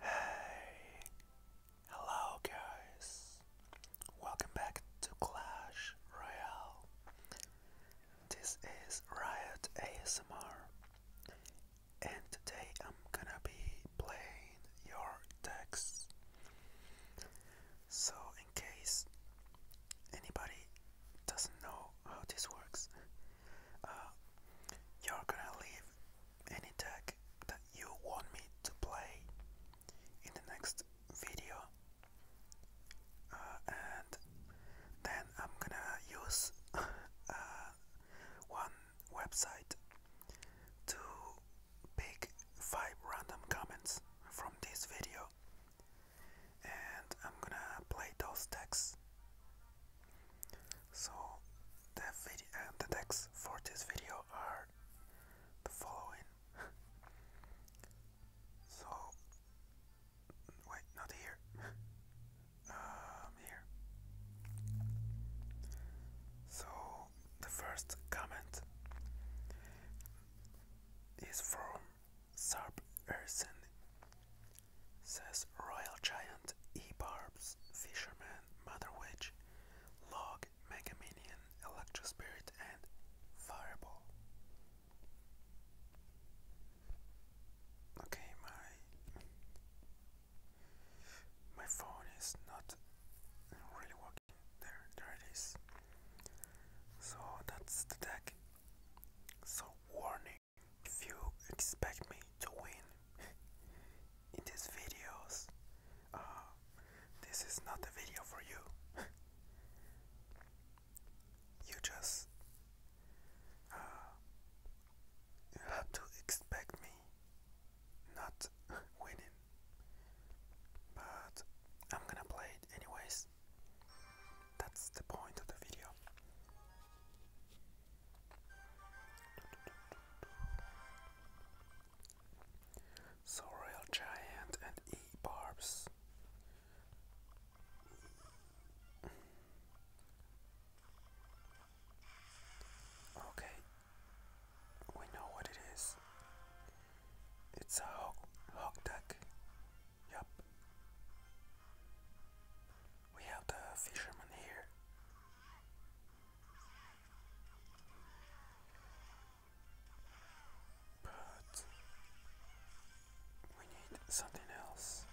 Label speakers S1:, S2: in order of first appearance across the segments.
S1: Hey, hello guys. Welcome back to Clash Royale. This is Riot ASMR, and today I'm gonna be playing your decks. So, in case anybody doesn't know how this works, uh, you're gonna leave any deck that you want me to play in the next video uh, and then I'm gonna use uh, one website to pick 5 random comments from this video and I'm gonna play those texts. So the video and uh, the text for this video are the following. so wait, not here. um, here. So the first comment is from Sarp says Royal Giant, E-Barbs, Fisherman, Mother Witch, Log, Mega Minion, Electro Spirit, and Fireball. Okay, my my phone is not really working. There, there it is. So that's the deck. So warning. If you expect me to win in these videos, uh, this is not the video for you. you just uh, you have to expect me not winning, but I'm gonna play it anyways. That's the point of the video. Sorrel Giant and E Barbs. Okay, we know what it is. It's a hog, hog duck. Yup. We have the fisherman here. But we need something else.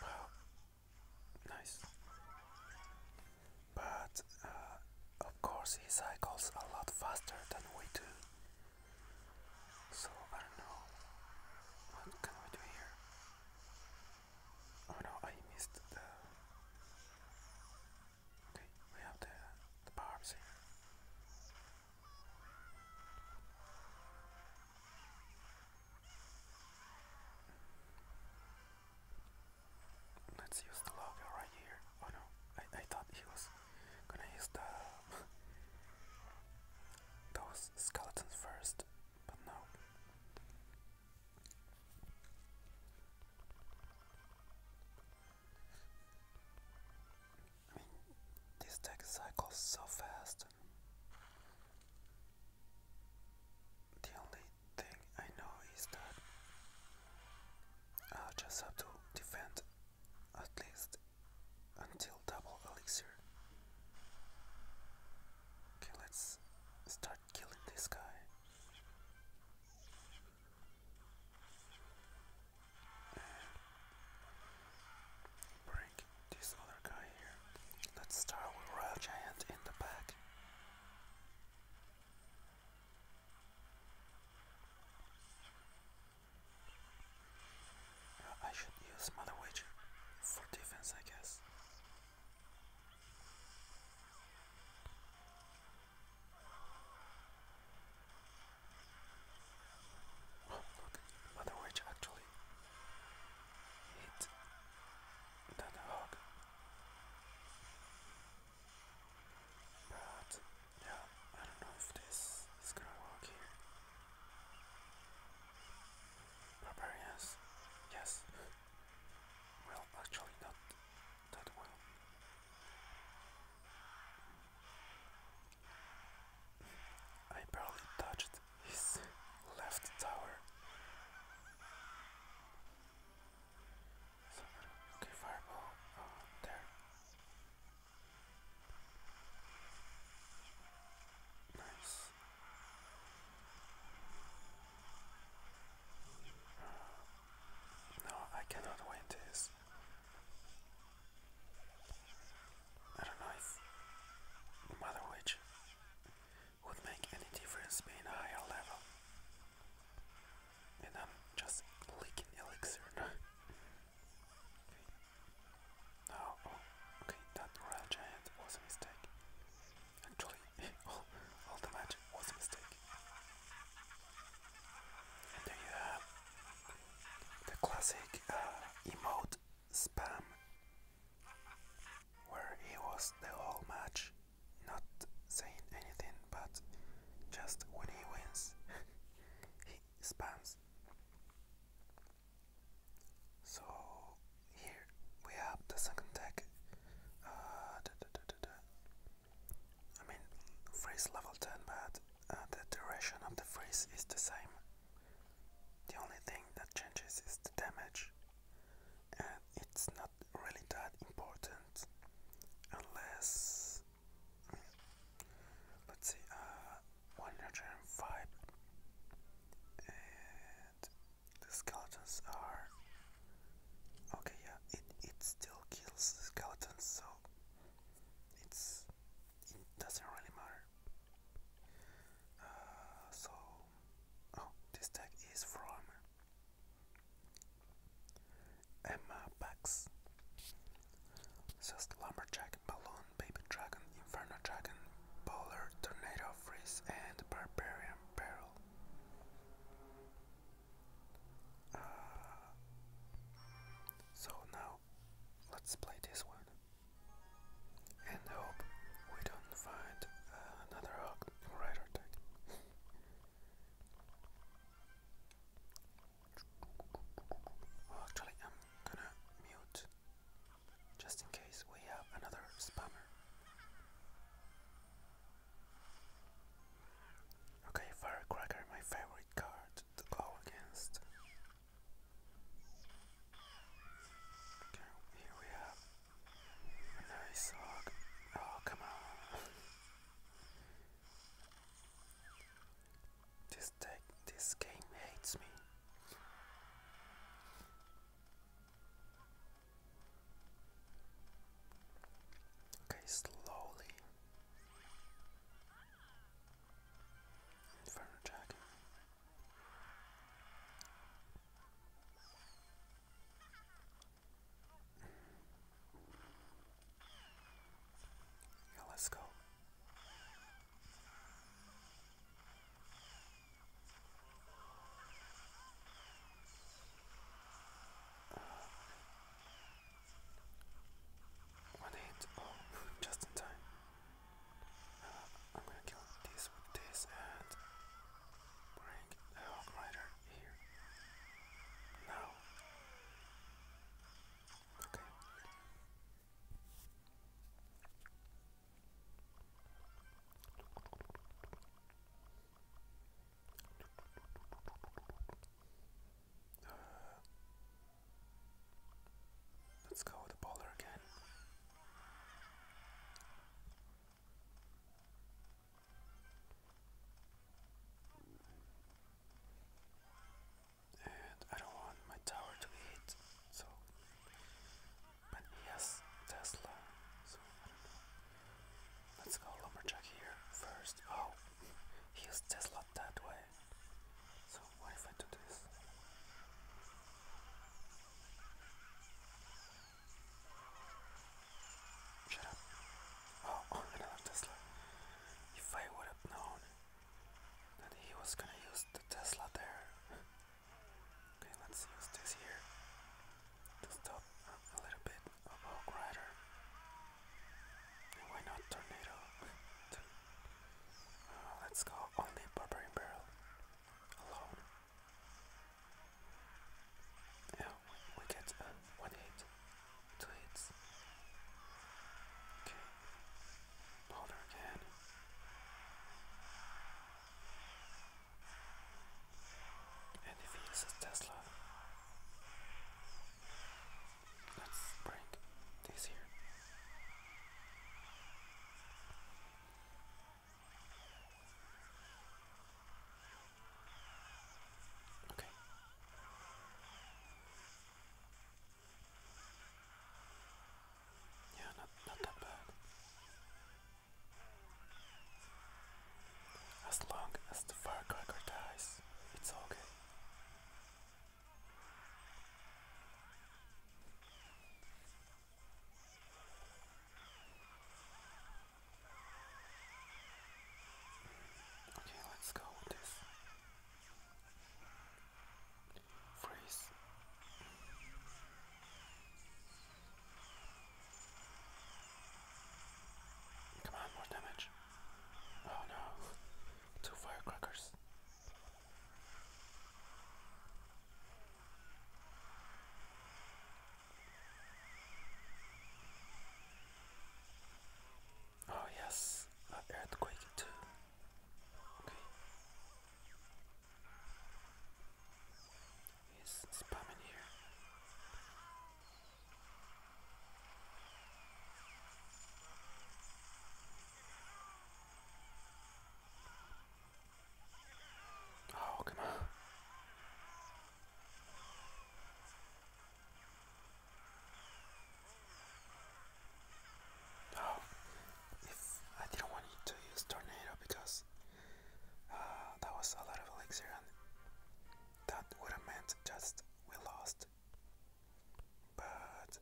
S1: Wow, nice but uh, of course he cycles a lot faster than we do. So I don't know. What can we do here? Oh no, I missed the. Okay, we have the, the barbs here. Let's use the logo right here. Oh no, I, I thought he was gonna use the those skeletons first, but no. I mean, this deck cycles so fast. The only thing I know is that I'll uh, just have to defend at least until double elixir. Okay, let's start killing this guy. And this other guy here. Let's start with Royal Giant in the back. I should use Mother Witch for defense, I guess. Oh, look, Mother Witch actually hit that hog. But yeah, I don't know if this is gonna work here. Barbarians, yes. Well, actually, not that well. I barely touched his left tower okay, fireball. Oh, there. Nice. no, I cannot win this. I don't know if Mother Witch would make any difference being a higher level and I'm just leaking elixir. oh, okay, that royal giant was a mistake. Actually, all, all the magic was a mistake. And there you have the classic uh, emote spam where he was the whole match not saying anything, but just when he wins, he spams. So here we have the second tech. Uh, I mean, freeze level 10, but uh, the duration of the freeze is the same. The only thing that changes is the damage, and it's not not really that important unless mm, let's see uh 105 and the skeletons are okay yeah it it still kills the skeletons so it's it doesn't really matter uh, so oh this tag is from Emma Pax. Just Lumberjack, Balloon, Baby Dragon, Inferno Dragon, Polar, Tornado, Freeze, and Barbarian Peril. Ah. so now let's play this one and hope we don't find uh, another Hawk Rider deck. Oh, actually, I'm gonna mute just in case we have another spammer. Okay, Firecracker, my favorite card to go against. here we have a nice hog. Oh, come on. This tech, this game hates me. Okay, slowly. Inferno Dragon. Yeah, let's go. Uh, just in time. Uh, I'm gonna kill this with this and bring the Hawk here? No. Okay. let's go with the bowler again. And I don't want my tower to hit, so. But he Tesla, so Let's go Lumberjack here first. Oh, he Tesla that way. So, what if I do this? Shut up. Oh, another Tesla. If I would have known that he was gonna use the Tesla there. okay, let's use this here to stop a little bit of Hog Rider. why not Tornado? Uh, let's go only Barbarian Barrel alone. Yeah, we get um, one hit, two hits. Okay, powder again. And if he is Tesla, let's bring this here. Okay. Yeah, not not that bad. As long as the firecracker dies, it's okay. Okay, let's go with this. Freeze. Come on, more damage. Oh no, two firecrackers. Oh yes, earthquake too. Okay. He's spamming here. Oh, come on. Oh, I didn't want you to use tornado because uh, that was a lot of elixir and that would have meant just we lost. But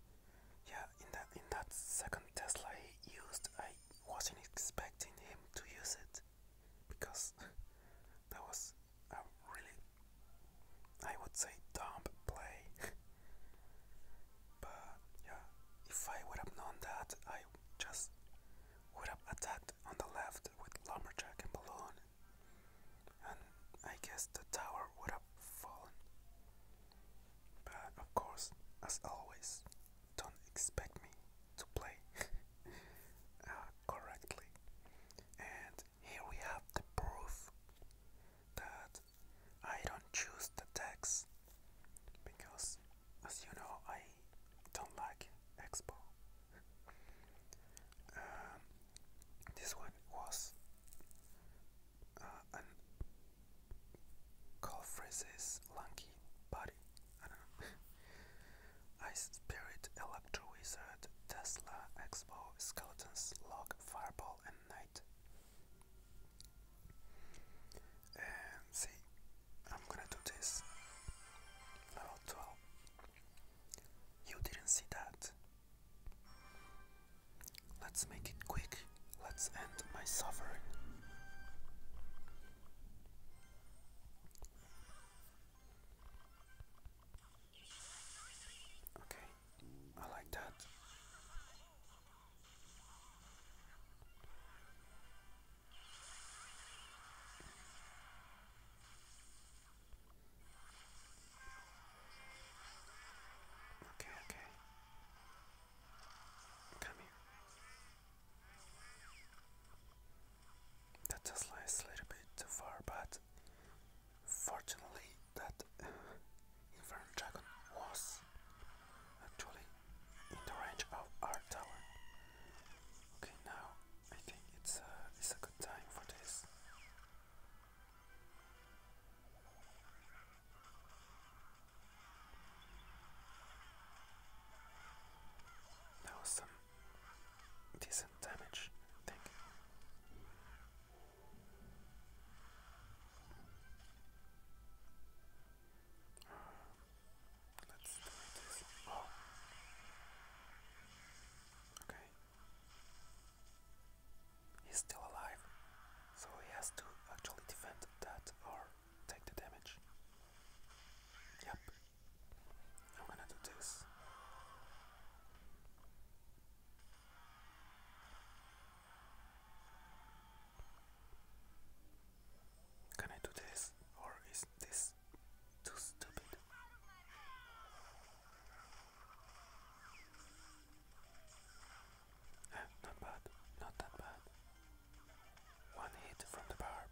S1: yeah, in that in that second Tesla I used, I wasn't expecting him to use it because that was a really, I would say, dumb play. but yeah, if I would have known that, I just would have attacked on the left with lumberjack and balloon, and I guess the tower would have fallen. But of course, as always, don't expect me to play uh, correctly and here we have the proof that I don't choose the text because as you know I don't like Expo. Um, this one was uh, an lanky body. Ice Spirit, Electro Wizard, Tesla, Expo, Skeletons, Log, Fireball, and night. see, I'm gonna do this. Level 12. You didn't see that. Let's make it quick. Let's end my suffering. Okay, I like that. Okay, okay. Come here. That just lies a little bit too far, but fortunately that uh, Infernal Dragon was actually in the range of our tower. Okay, now I think it's a, uh, it's a good time for this. That decent damage, I think. Let's do this. Oh. Okay. He's still alive, so he has to actually defend that or take the damage. Yep, I'm gonna do this. Can I do this or is this too stupid? Eh, not bad, not that bad. One hit from the barb.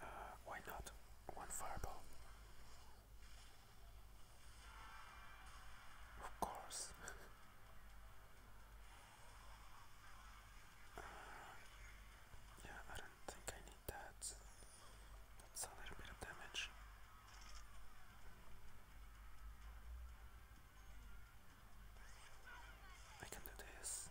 S1: Uh, why not? One fireball. Of course. Uh, yeah, I don't think I need that. That's a little bit of damage. I can do this.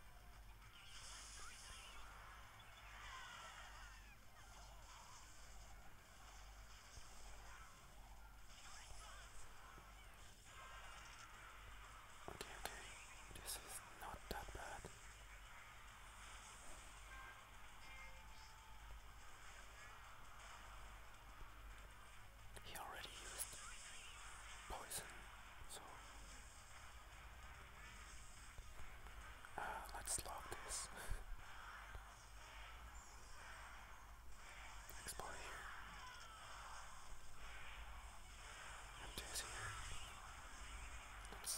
S1: Okay, this is not that bad he already used poison, so uh, let's log this. Explode here. Empty here. Let's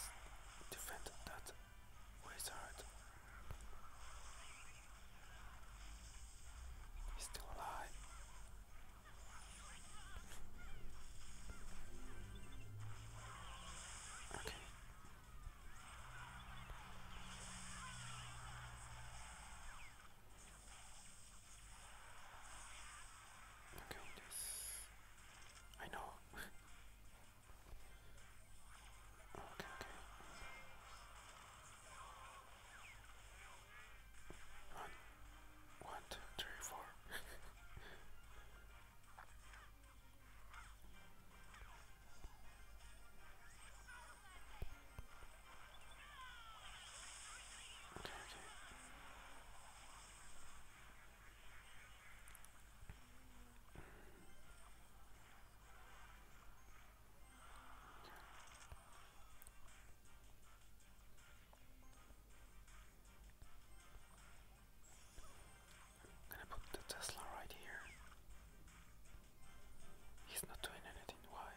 S1: defend that wizard. He's still alive. Okay. Okay, this I know. okay, okay. One, one, two, three, four. okay, okay. Mm gonna put the Tesla right here. He's not doing anything. Why?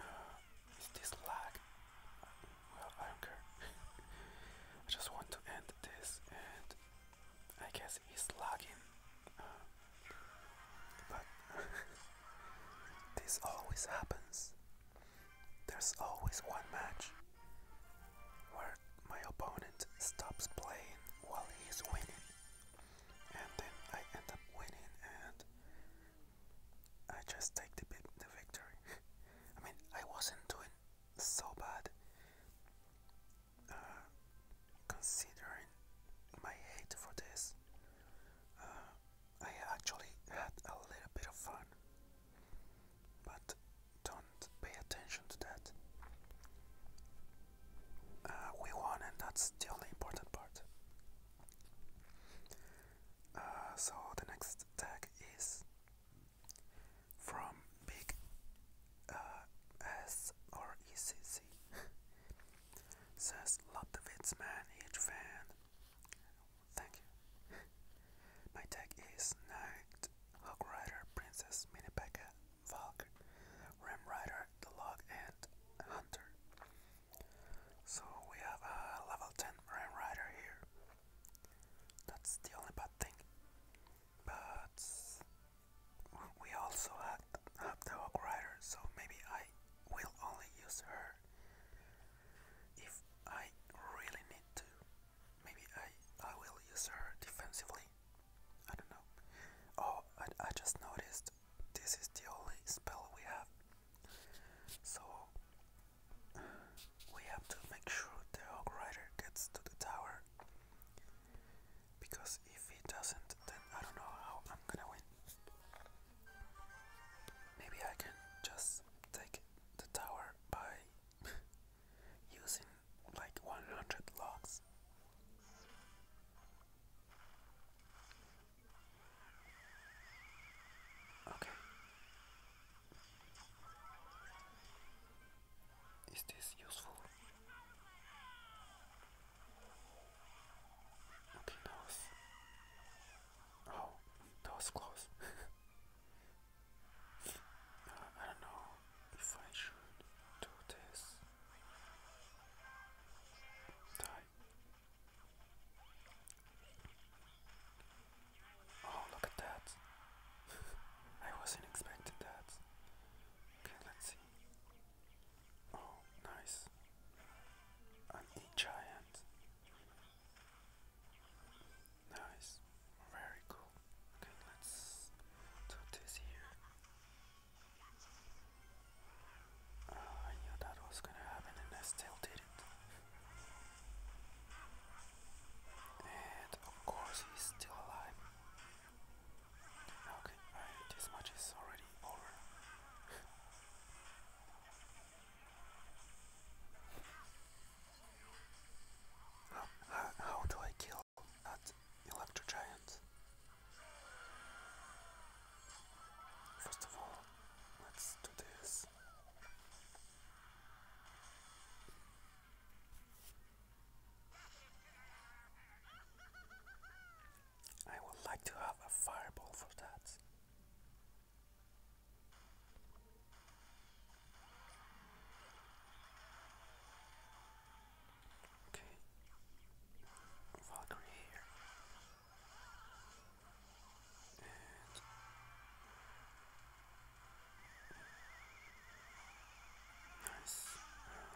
S1: Uh, is this lag? Well, I don't care. I just want to end this, and I guess he's lagging. Uh, but this always happens. There's always one match where my opponent stops playing while he's winning, and then I end up winning, and I just take the, victory. I mean, I wasn't doing so bad, uh, considering my hate for this, uh, I actually had a little bit of fun. But don't pay attention to that. Uh, we won, and that's the only important part. Uh, so the next tag is from Big uh, Says Lotovitz man, each fan. Thank you. My tag is Knight, Hog Rider, Princess, Minipeka, Valk, Ram Rider, the Log, and Hunter. So we have a level 10 Ram Rider here. That's the only bad thing. But we also have, have the Hawk Rider, so maybe I will only use her if I really need to. Maybe I, I will use her defensively. I don't know. Oh, I, I just noticed this is the only spell we have. So we have to make sure the Hawk Rider gets to the tower. Because if he doesn't, then I don't know how I'm gonna win. Maybe I can just take the tower by using like 100 logs. Okay. Is this useful? Okay, that was. Oh, that was close. Uh, I don't know if I should do this. Die. Oh, look at that. I wasn't expecting that. Okay, let's see. Oh, nice. An e giant. Nice. Very cool. Okay, let's do this here. Ah, I knew that was gonna happen and I still did it. And of course he's still alive. Okay, this match is already over. how, how do I kill that electro giant? First of all, let's do this. I would like to have a fireball for that. Okay. Valkyrie here. Nice. Um,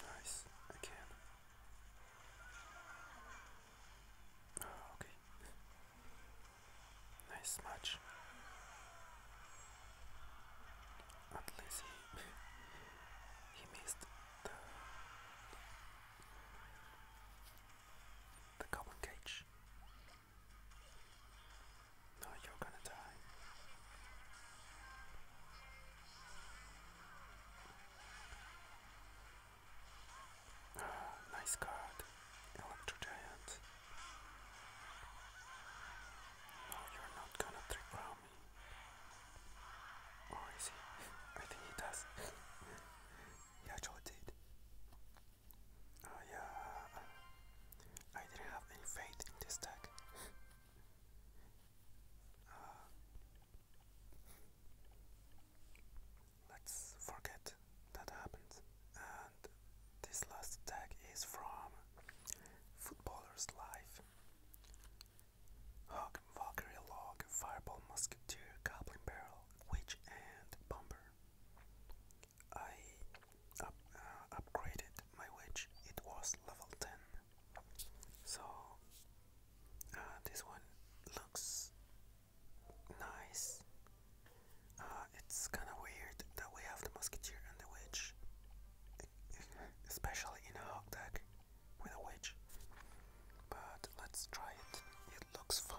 S1: Nice, again. Ah, okay. Nice match. At least he, missed the, the common cage. No, you're gonna die. Ah, nice card, Electro Giant. No, you're not gonna trick round me. Oh, I see. I think he does. he actually did. I, uh, I didn't have any faith in this deck. Uh, let's forget that happened. And this last deck is from Footballer's Life. Hawk, Valkyrie Fireball Musketeer, Goblin Barrel, Witch and Bomber. I up, uh, upgraded my witch, it was level 10. So uh, this one looks nice. Uh, it's kinda weird that we have the musketeer and the witch, especially in a hog deck with a witch. But let's try it, it looks fun.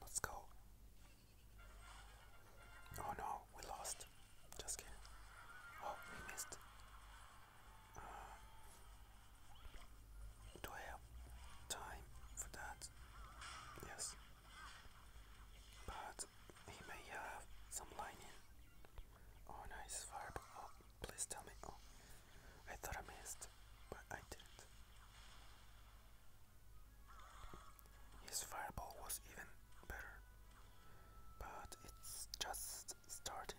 S1: Let's go. Oh no, we lost. Just kidding. Oh, we missed. Uh, time for that? Yes. But he may have some lining. Oh, nice verb. Oh, please tell me. Oh, I thought I missed, but I didn't. His fireball was even better, but it's just starting.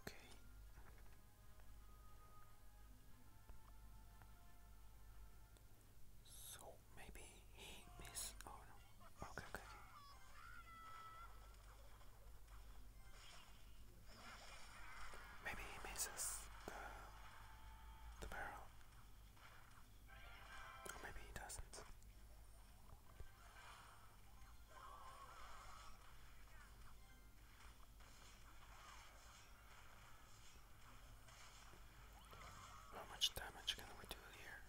S1: Okay. So maybe he missed. Oh no. okay, okay. Maybe he misses the, the barrel. Or maybe he doesn't. How much damage can we do here?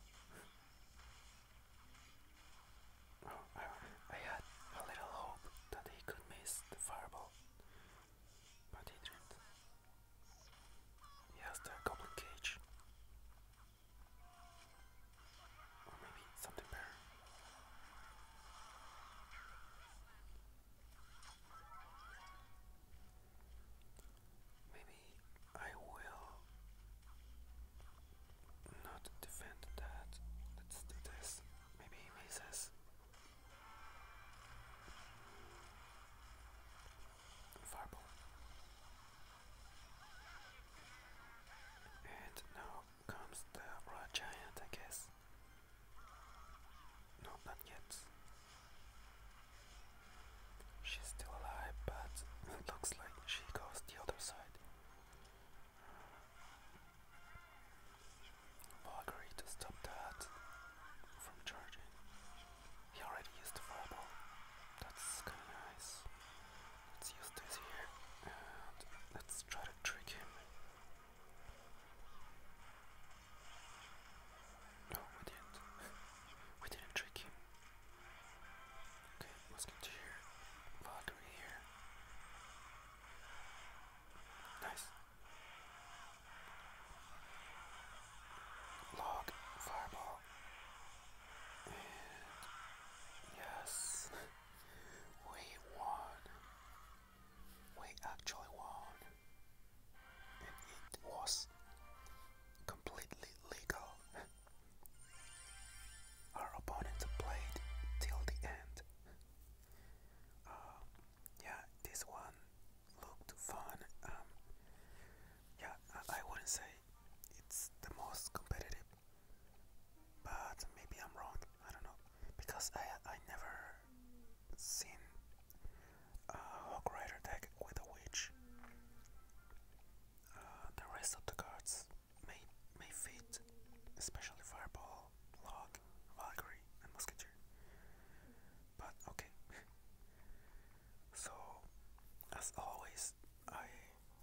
S1: Oh, I, had a little hope that he could miss the fireball, but he didn't. He has the goblin cage maybe something better. Maybe I will not defend that. Let's do this. Maybe he misses. And now comes the raw giant, I guess. No, not She's still alive, but it looks like she goes the other side. Valkyrie stop that from charging. He already used the fireball. That's kinda nice. Let's use this here and let's try to trick him. No, we didn't. we didn't trick him. Okay, Musketeer, Valkyrie here. Nice. Log, Fireball. And yes. We won. We actually won. And it was completely legal. Our opponent played till the end. Um, yeah, this one looked fun. Um, yeah, I wouldn't say it's the most competitive but maybe I'm wrong. I don't know because I I never seen a Hawk Rider deck with a witch. Uh, the rest of the cards may may fit, especially Fireball, Log, Valkyrie, and Musketeer. But okay. so as always, I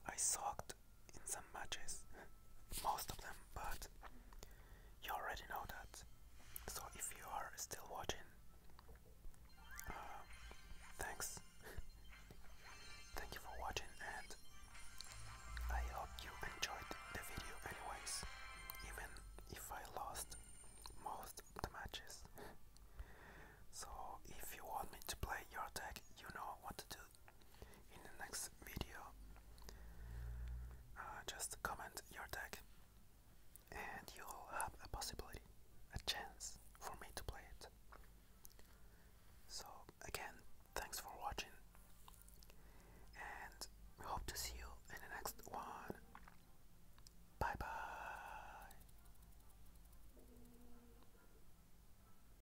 S1: I sucked in some matches, most of them, but you already know that. So if you are still watching, um, thanks. Thank you for watching and I hope you enjoyed the video anyways, even if I lost most of the matches. so if you want me to play your deck, you know what to do in the next video. Uh, just comment your deck and you'll have a possibility, a chance for me to play it. So, again, thanks for watching and hope to see you in the next one. Bye bye.